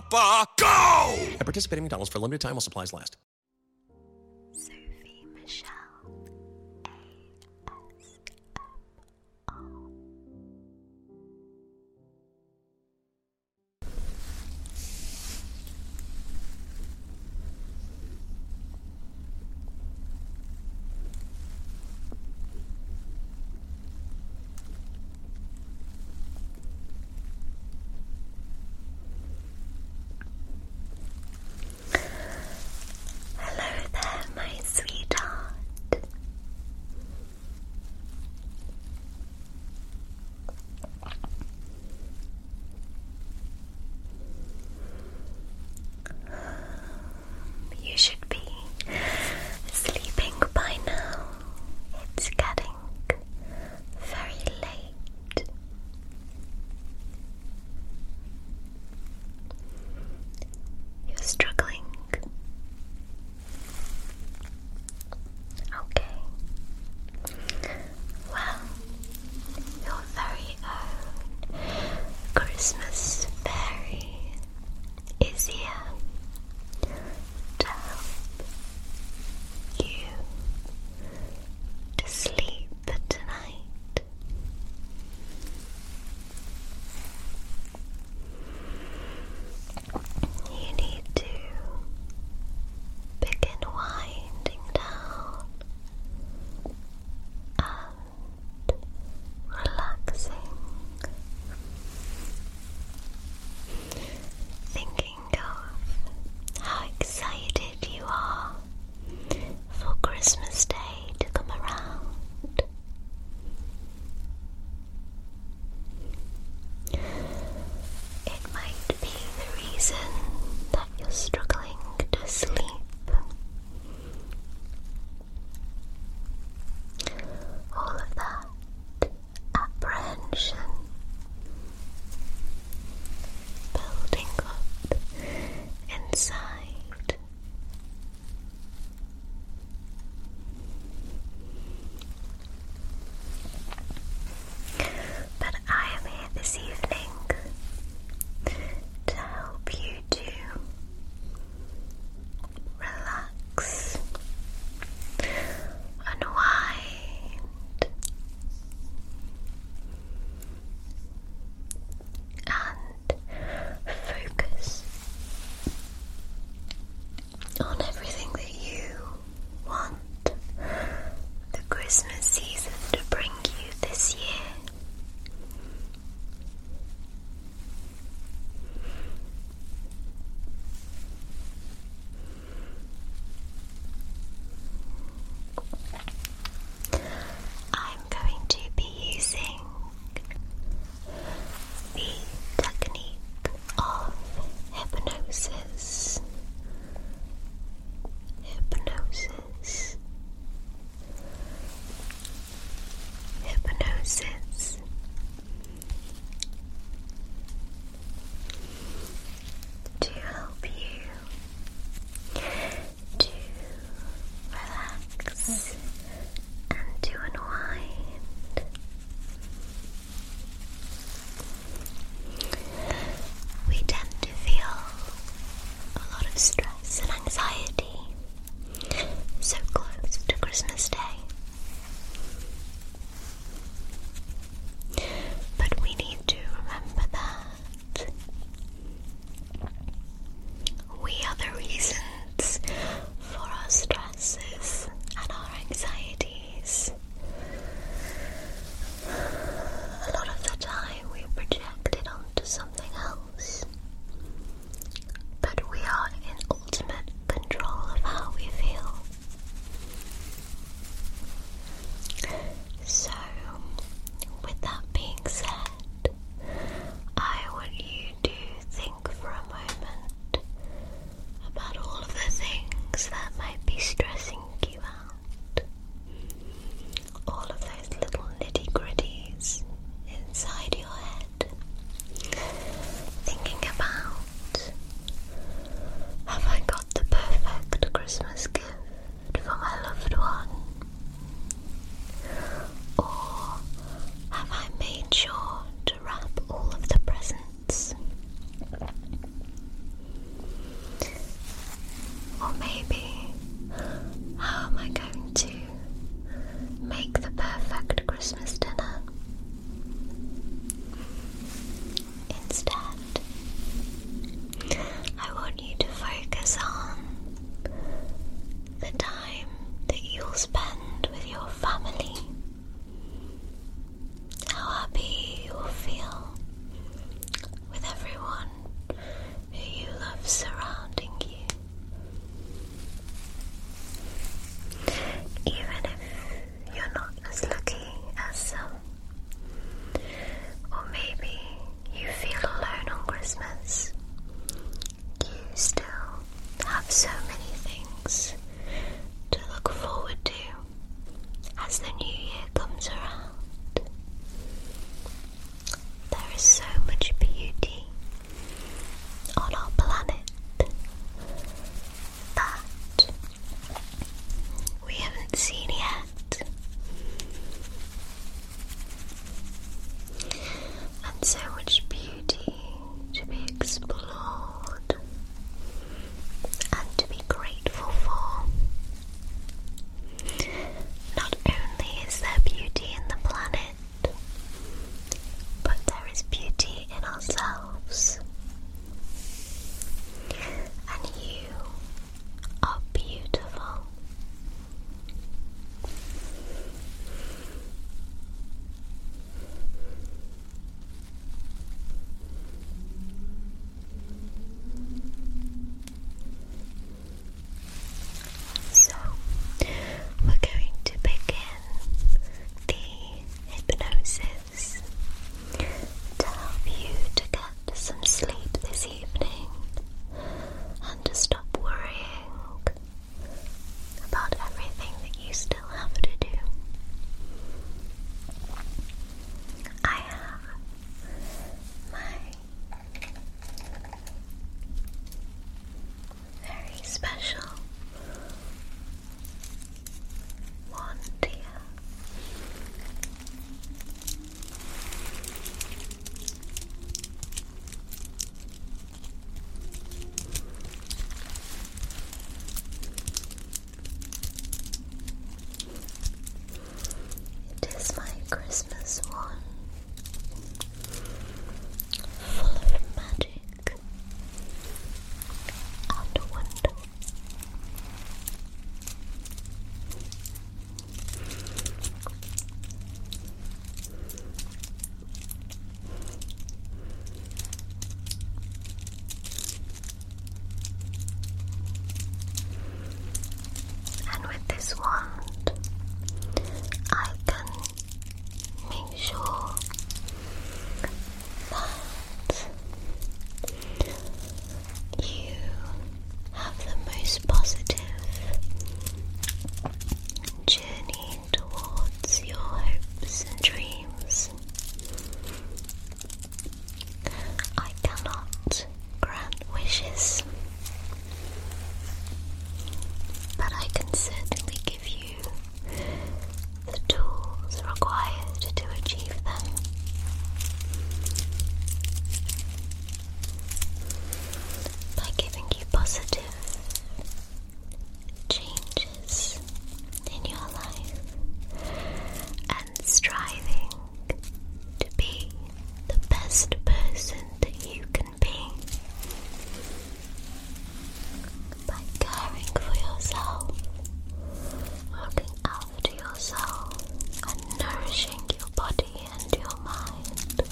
Papa, go! And participate in McDonald's for a limited time while supplies last. Hello there, my sweetheart. You should be sleeping by now. It's getting very late. You're struggling. Okay. Well, your very own Christmas fairy is here to help you to sleep tonight. You need to begin winding down and relaxing Thinking of how excited you are for Christmas Day to come around. It might be the reason that you're struggling to sleep. All of that apprehension, building up inside. But I am here this evening to help you to relax, unwind, and focus on everything that you want the Christmas season to bring you this year. I'm going to be using the technique of hypnosis. Hypnosis. Hypnosis to help you to relax and to unwind. We tend to feel a lot of stress and anxiety so close to Christmas Day. But we need to remember that we are the reasons for our stresses and our anxieties. A lot of the time we project it onto something else. But we are in ultimate control of how we feel. So, with that being said, I want you to think for a moment about all of the things that might be stressing you out. All of those little nitty gritties inside your head. Thinking about have I got the perfect Christmas gift for my loved one? Or have I made sure to wrap all of the presents? Or maybe, how am I going to make the perfect Christmas dinner? Instead, I want you to focus on the time that you'll spend with your family. How happy you will feel with everyone who you love surrounding you. Even if you're not as lucky as some. Or maybe you feel alone on Christmas. You still have so many things to look forward to as the new year comes around. There is so much beauty on our planet that we haven't seen yet. And so much beauty to be explored and to be grateful for. Not only is there beauty in the planet, but there is beauty in ourselves. And you are beautiful. So, we're going to begin the hypnosis to help you to get some sleep this evening and to stop worrying about everything that you still have to do. I have my very special want you. It is my Christmas one, full of magic on And with this wand, I can make sure that you have the most positive journey towards your hopes and dreams. I cannot grant wishes, but I can certainly give you the tools required to achieve them. By giving you positive changes in your life and striving to be the best person that you can be by caring for yourself, looking after yourself, and nourishing your body and your mind.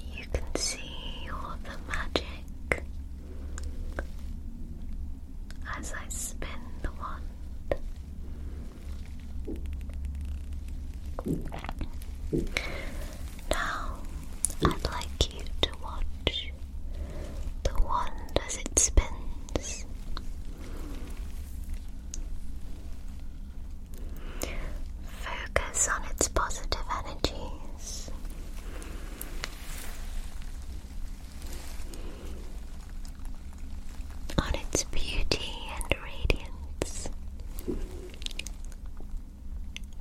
You can see all the magic as I spin the wand. Now, I'd like you to watch the wand as it spins. Focus on its positive energies on its beauty and radiance.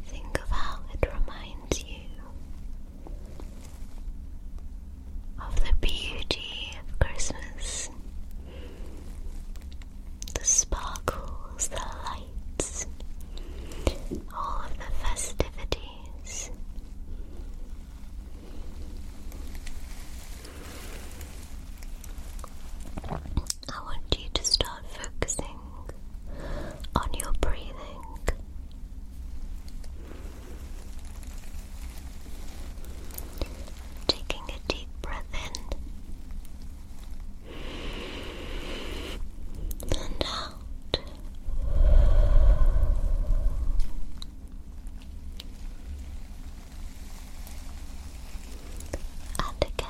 Think of how it reminds you of the beauty of Christmas, the sparkles, the lights, all of the festivities. I want you to start focusing on your breathing. Taking a deep breath in and out. And again,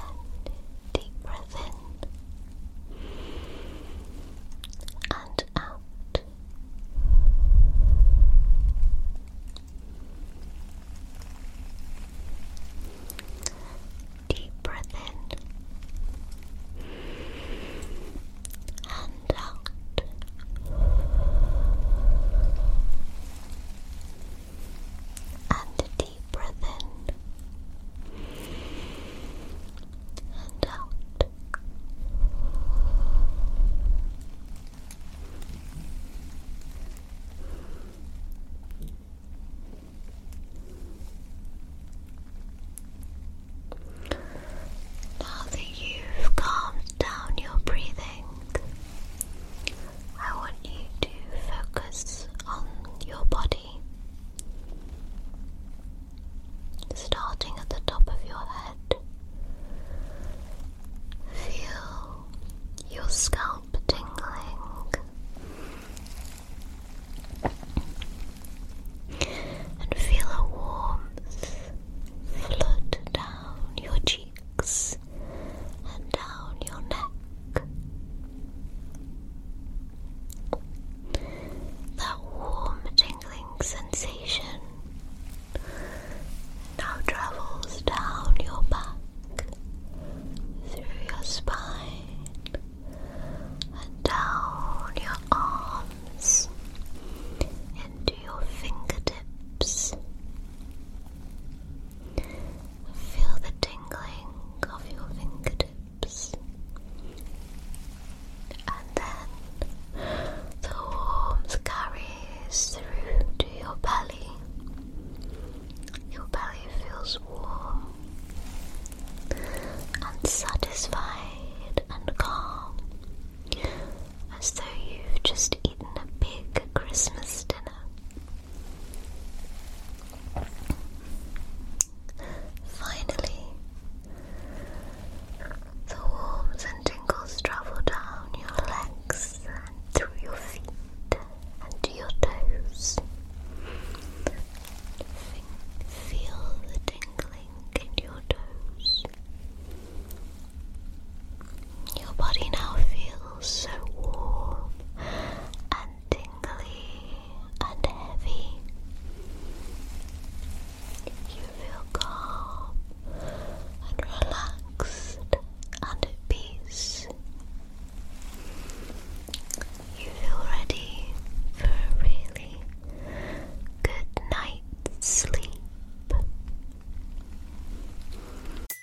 deep breath in and out. Deep breath in and out and a deep breath in and out. Now that you've calmed down your breathing, I want you to focus on your body, starting at the top of your head. Feel your scalp tingling and feel a warmth flood down your cheeks and down your neck. That warm tingling sensation now travels down your back, through your spine, and down your arms into your fingertips. Feel the tingling of your fingertips, and then the warmth carries through to your belly. Your belly feels warm and satisfied and calm, as though you've just eaten a big Christmas dinner. Finally, the warms and tingles travel down your legs and through your feet and to your toes. Feel the tingling in your toes. Your body now feels so warm and tingly and heavy. You feel calm and relaxed and at peace. You feel ready for a really good night's sleep.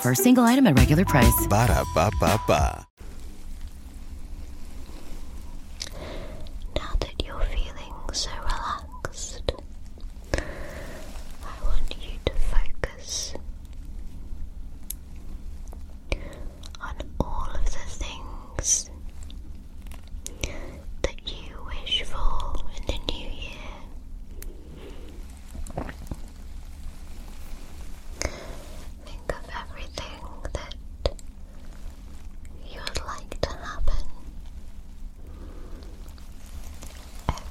For a single item at regular price. Ba da ba ba ba. Now that you're feeling so relaxed, I want you to focus on all of the things that you wish for in the new year. Think of everything that you would like to happen,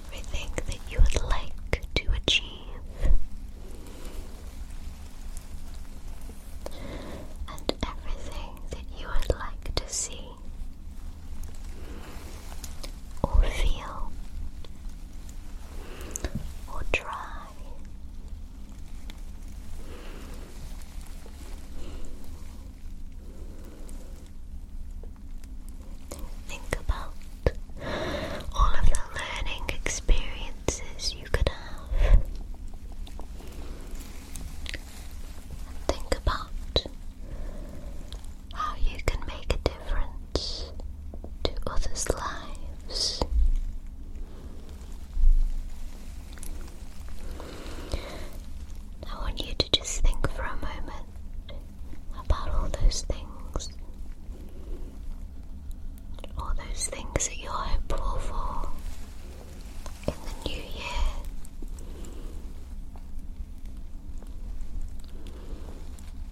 everything that you would like to achieve, and everything that you would like to see or feel or try. Think about all of the learning experiences you could have. think about how you can make a difference to others' lives. I want you to just think for a moment about all those things. All those things that you're hopeful for in the new year.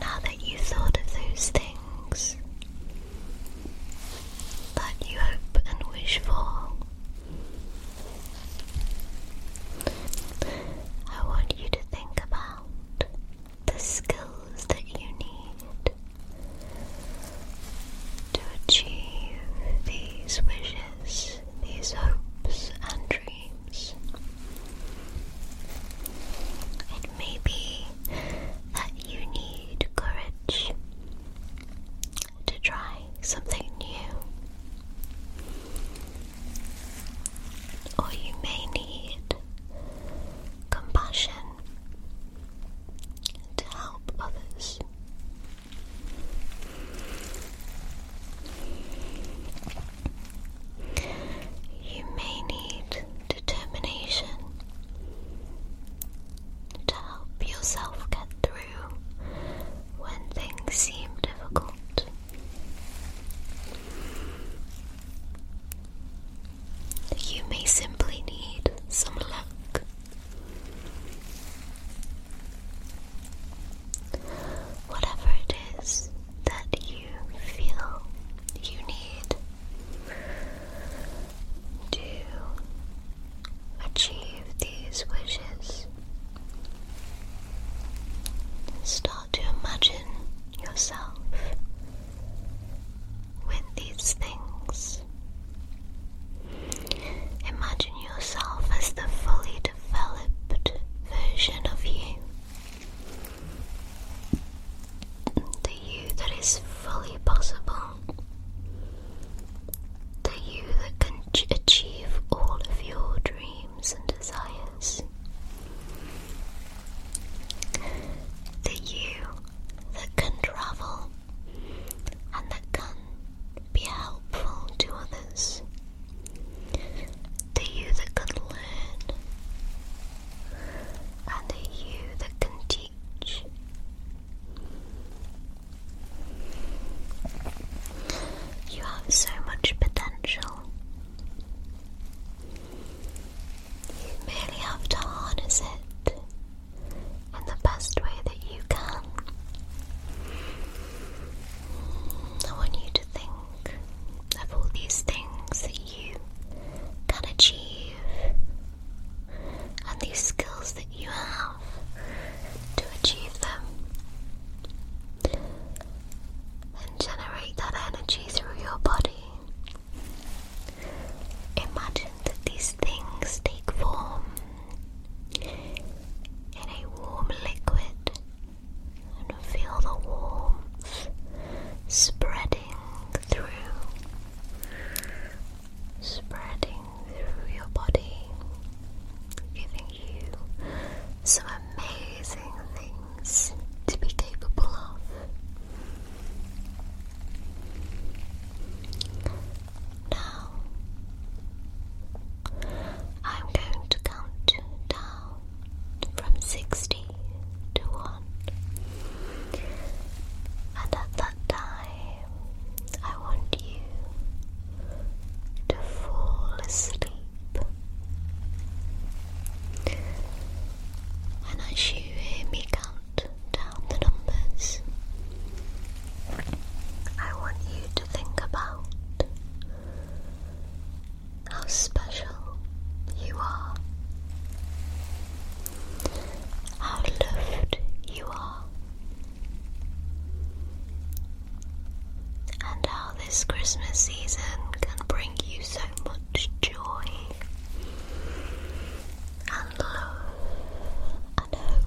Now that you thought of those things that you hope and wish for, I want you to think about the skills that you need to achieve these wishes, these hopes, and dreams. It may be that you need courage to try something new or you may need compassion to help others. You may need determination to help yourself get through when things seem difficult. You may simply need some luck. Whatever it is that you feel you need to achieve these wishes, start to imagine yourself with these things. Imagine yourself as the fully developed version of you. The you that is fully possible. The you that can achieve all of your dreams and desires. The you that can travel and that can be helpful to others. The you that can learn and the you that can teach. You have so much potential. You merely have to harness it in the best way that you can. Mm, I want you to think of all these things that you can achieve and these skills that you have to achieve them and generate that energy through your body. Imagine these things take form in a warm liquid and feel the warmth spreading through. Spreading through your body, giving you some amazing things to be capable of. Now, I'm going to count down from 60 to 1. And at that time, I want you to fall asleep. And as you hear me count down the numbers, I want you to think about how special you are, how loved you are, and how this Christmas season can bring you so much joy and love and hope.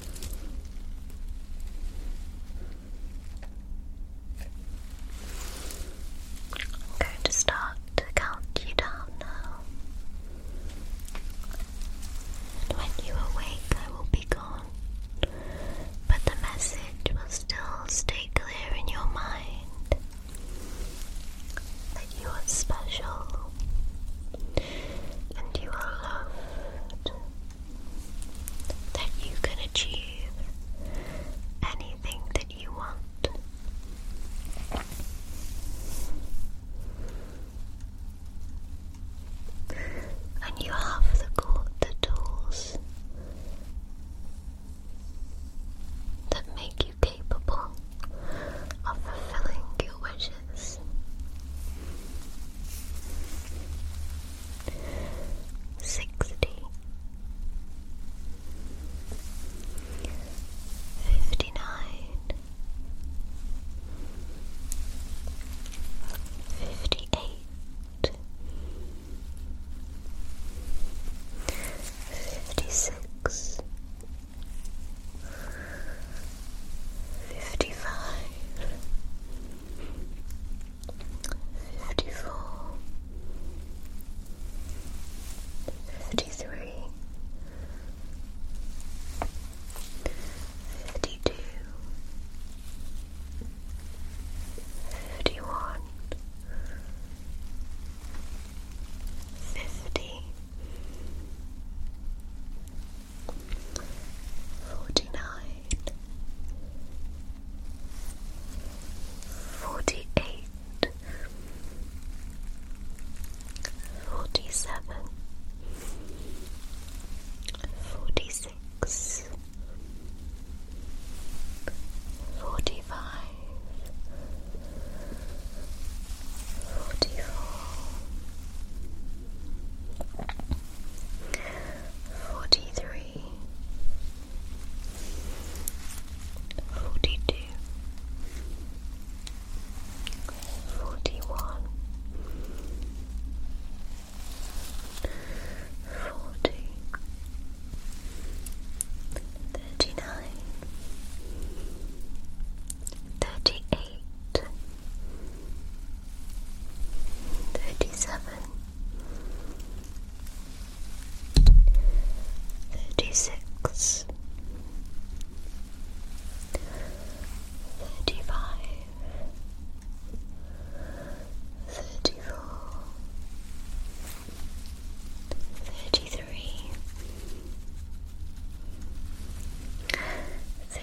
I'm going to start to count you down now. when you awake, I will be gone. But the message will still stay clear in your mind that you are special, and you are loved, that you can achieve anything that you want. And you have the, tools that make you capable of fulfilling your wishes. Fifty nine. Fifty eight. 56 fifty five, fifty four, fifty three, fifty two, fifty one. Fifty, forty-nine, forty-eight, forty-seven, forty-six, forty-five, forty-four. 43 Forty three, forty two, forty one, forty, thirty nine, thirty eight. Thirty-seven, thirty-six, thirty-five, thirty-four, thirty-three,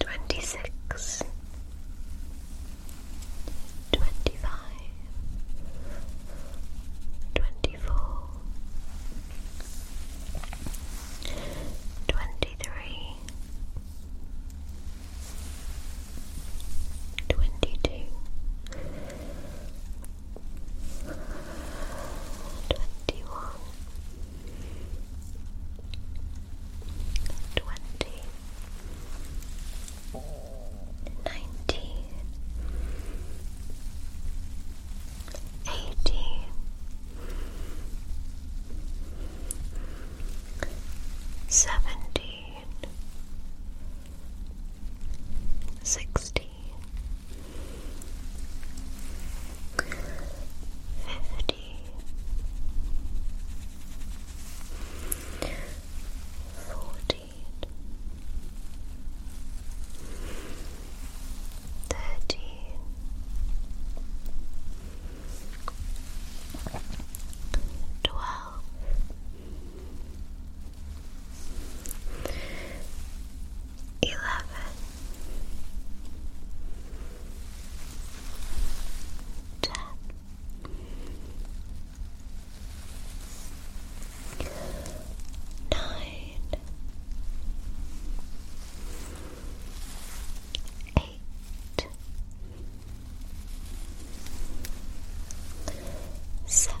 twenty six, twenty five, twenty four, twenty three, twenty two twenty one, twenty, nineteen, eighteen, seventeen. Sixteen, fifty, fourteen, thirteen, twelve eleven, ten, nine, eight, seven